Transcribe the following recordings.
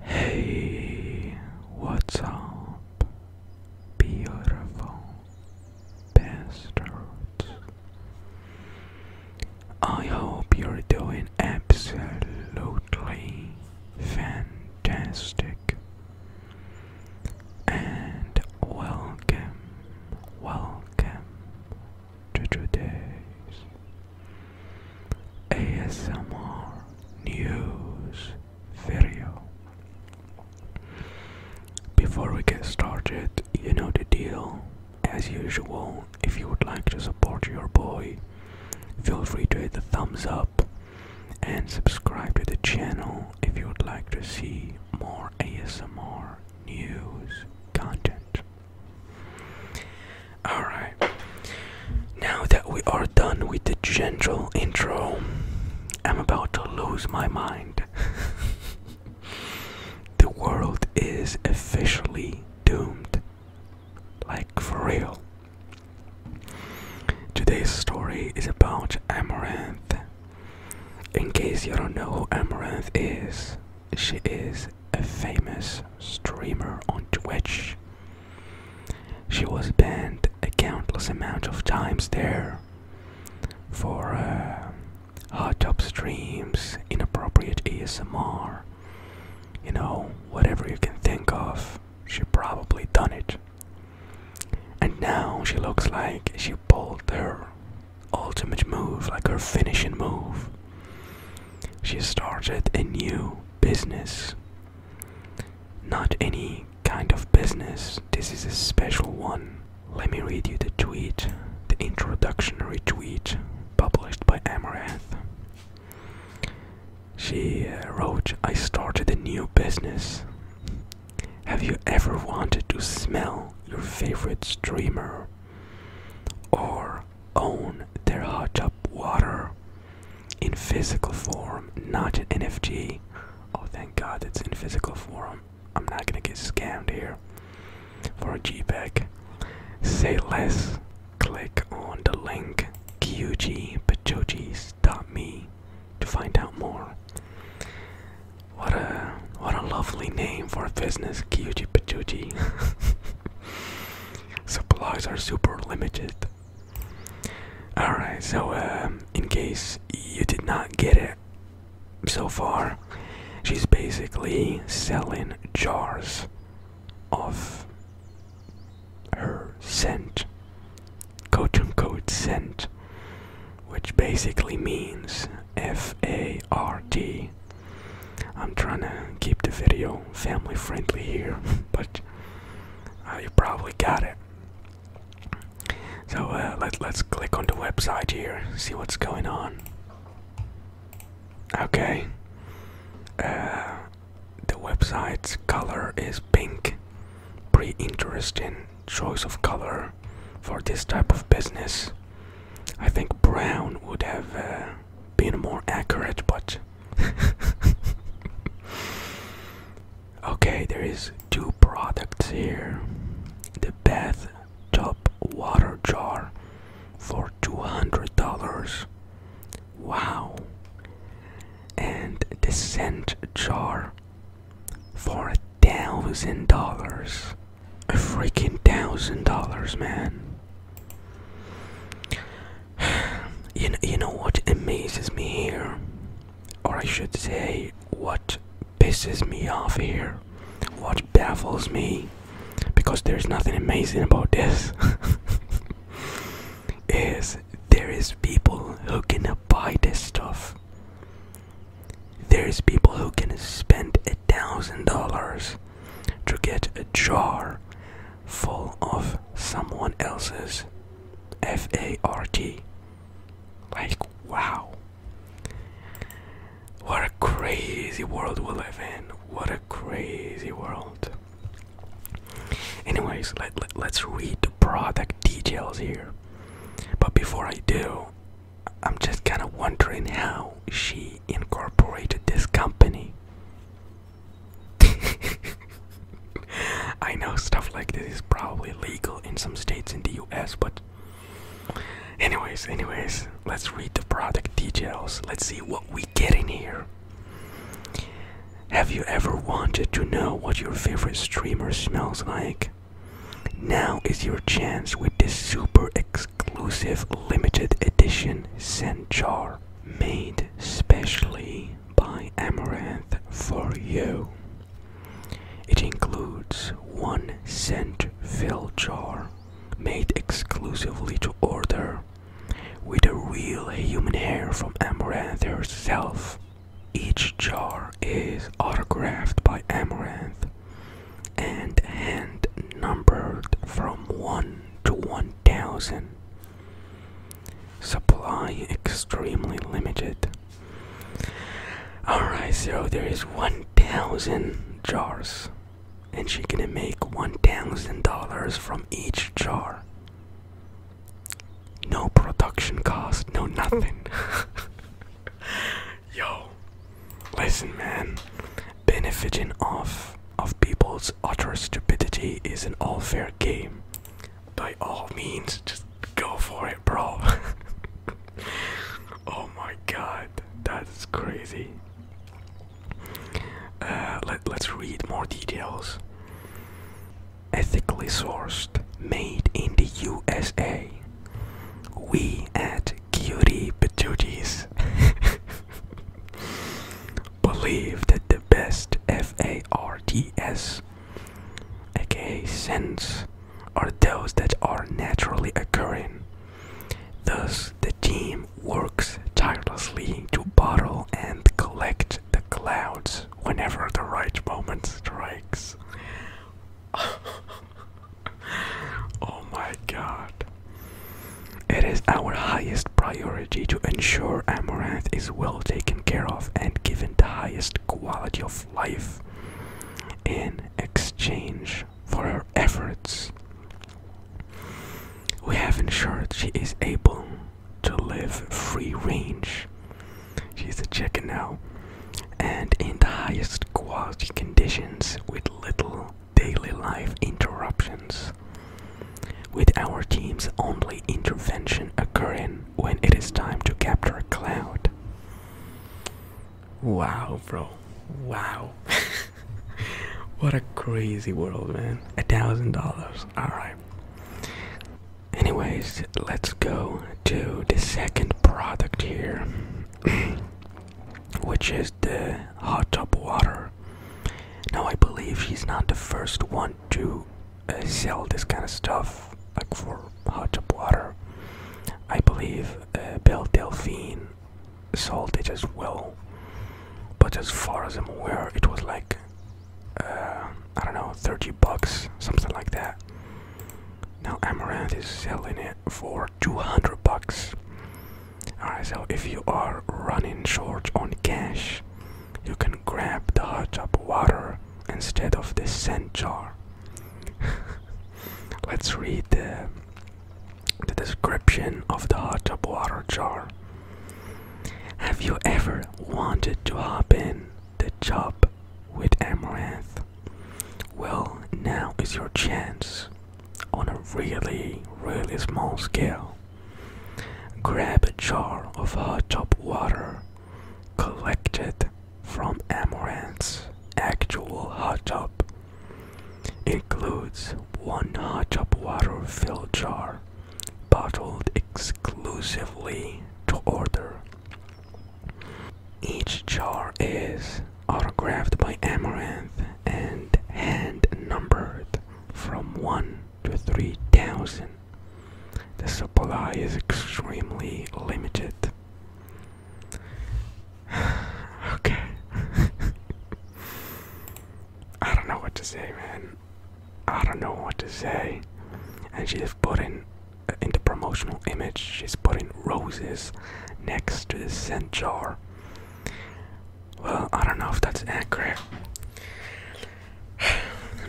Hey, what's up, beautiful bastards? I hope you're doing absolutely fantastic. And welcome, welcome to today's ASMR news video. Before we get started, you know the deal. As usual, if you would like to support your boy, feel free to hit the thumbs up and subscribe to the channel if you would like to see more ASMR news content. Alright, now that we are done with the gentle intro, I'm about to lose my mind. the world is officially doomed. Like, for real. Today's story is about Amaranth. In case you don't know who Amaranth is, she is a famous streamer on Twitch. She was banned a countless amount of times there for uh, hot tub streams, inappropriate ASMR, you know, whatever you can think of, she probably done it. And now she looks like she pulled her ultimate move, like her finishing move. She started a new business. Not any kind of business, this is a special one. Let me read you the tweet, the introductionary tweet published by Amaranth. She uh, wrote, I started a new business. Have you ever wanted to smell your favorite streamer? Or own their hot tub water in physical form, not in NFT. Oh, thank God it's in physical form. I'm not gonna get scammed here for a G GPEG. Say less. Click on the link qgpachojis.me to find out more. What a what a lovely name for a business, Kyuji Pachuji. supplies are super limited. Alright, so um, in case you did not get it so far, she's basically selling jars of her scent, quote unquote scent, which basically means F A R T I'm trying to keep the video family friendly here, but you probably got it. So uh, let, let's click on the website here, see what's going on. Okay. Uh, the website's color is pink. Pretty interesting choice of color for this type of business. I think brown would have uh, being more accurate, but okay, there is two products here. The bath top water jar for two hundred dollars. Wow. And the scent jar for a thousand dollars. A freaking thousand dollars, man you know, you know what amazes me here, or I should say, what pisses me off here, what baffles me, because there's nothing amazing about this, is there is people who can buy this stuff. There is people who can spend a thousand dollars to get a jar full of someone else's fart. Like, wow. What a crazy world we live in. What a crazy world. Anyways, let, let's read the product details here. But before I do, I'm just kind of wondering how she incorporated this company. I know stuff like this is probably legal in some states in the US, but anyways, anyways, let's read the product details. Let's see what we get in here. Have you ever wanted to know what your favorite streamer smells like? Now is your chance with this super exclusive limited edition and jar made specially by Amaranth for you. It includes one scent fill jar made exclusively to order with a real human hair from Amaranth herself. Each jar is autographed by Amaranth and hand numbered from 1 to 1000. Supply extremely limited. Alright, so there is 1000 jars, and she gonna make $1000 from each jar. No production cost, no nothing. Yo, listen, man. Benefiting off of people's utter stupidity is an all fair game. By all means, just go for it, bro. oh my god, that's crazy. Uh, let, let's read more details. Ethically sourced, made in the USA. We at cutie patooties believe that the best FARDS, aka scents are those that are naturally occurring thus the team works tirelessly to bottle and collect the clouds whenever the right moment strikes oh my god. It is our highest priority to ensure Amaranth is well taken care of and given the highest quality of life in exchange for her efforts. We have ensured she is able to live free range. She's a chicken now, and in the highest quality conditions with little daily life interruptions, with our team's only intervention occurring when it is time to capture a Cloud. Wow, bro. Wow. what a crazy world, man. A thousand dollars. Alright. Anyways, let's go to the second product here. which is the hot tub water. Now, I believe she's not the first one to uh, sell this kind of stuff, like for hot tub water. I believe uh, Delphine sold it as well, but as far as I'm aware, it was like uh, I don't know, 30 bucks, something like that. Now, Amaranth is selling it for 200 bucks. Alright, so if you are running short on cash, you can grab the hot tub water instead of the scent jar. Let's read the, the description of the hot tub water jar. Have you ever wanted to hop in the tub with amaranth? Well, now is your chance on a really, really small scale. Grab a jar of hot top water collected from Amaranth's actual hot tub. Includes one hot tub water filled jar, bottled exclusively to order. Each jar is autographed by Amaranth and hand numbered from 1 to 3000. The supply is extremely limited. okay. I don't know what to say, man. I don't know what to say. And she's putting uh, in the promotional image, she's putting roses next to the scent jar. Well, I don't know if that's accurate.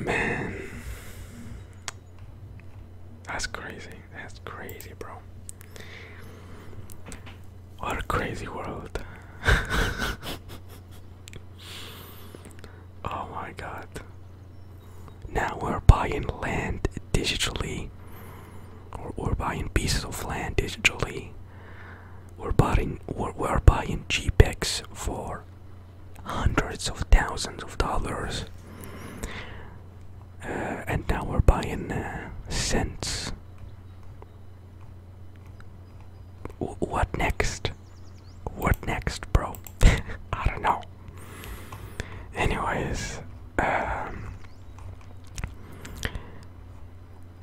Man. That's crazy. That's crazy, bro. What a crazy world. oh my god. Now we're buying land digitally or, or buying pieces of land digitally we're buying we're, we're buying GPEX for hundreds of thousands of dollars uh, and now we're buying uh, cents what next what next bro I don't know anyways um,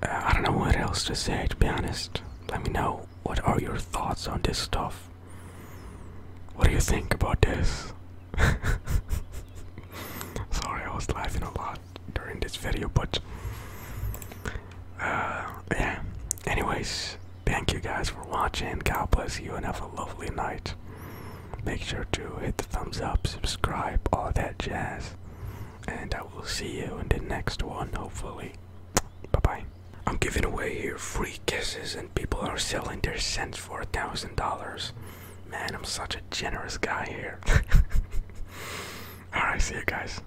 uh, I don't know what else to say, to be honest. Let me know what are your thoughts on this stuff. What do you think about this? Sorry, I was laughing a lot during this video, but uh, yeah. Anyways, thank you guys for watching. God bless you and have a lovely night. Make sure to hit the thumbs up, subscribe, all that jazz. And I will see you in the next one, hopefully. Bye bye. I'm giving away here free kisses, and people are selling their scents for a thousand dollars. Man, I'm such a generous guy here. Alright, see you guys.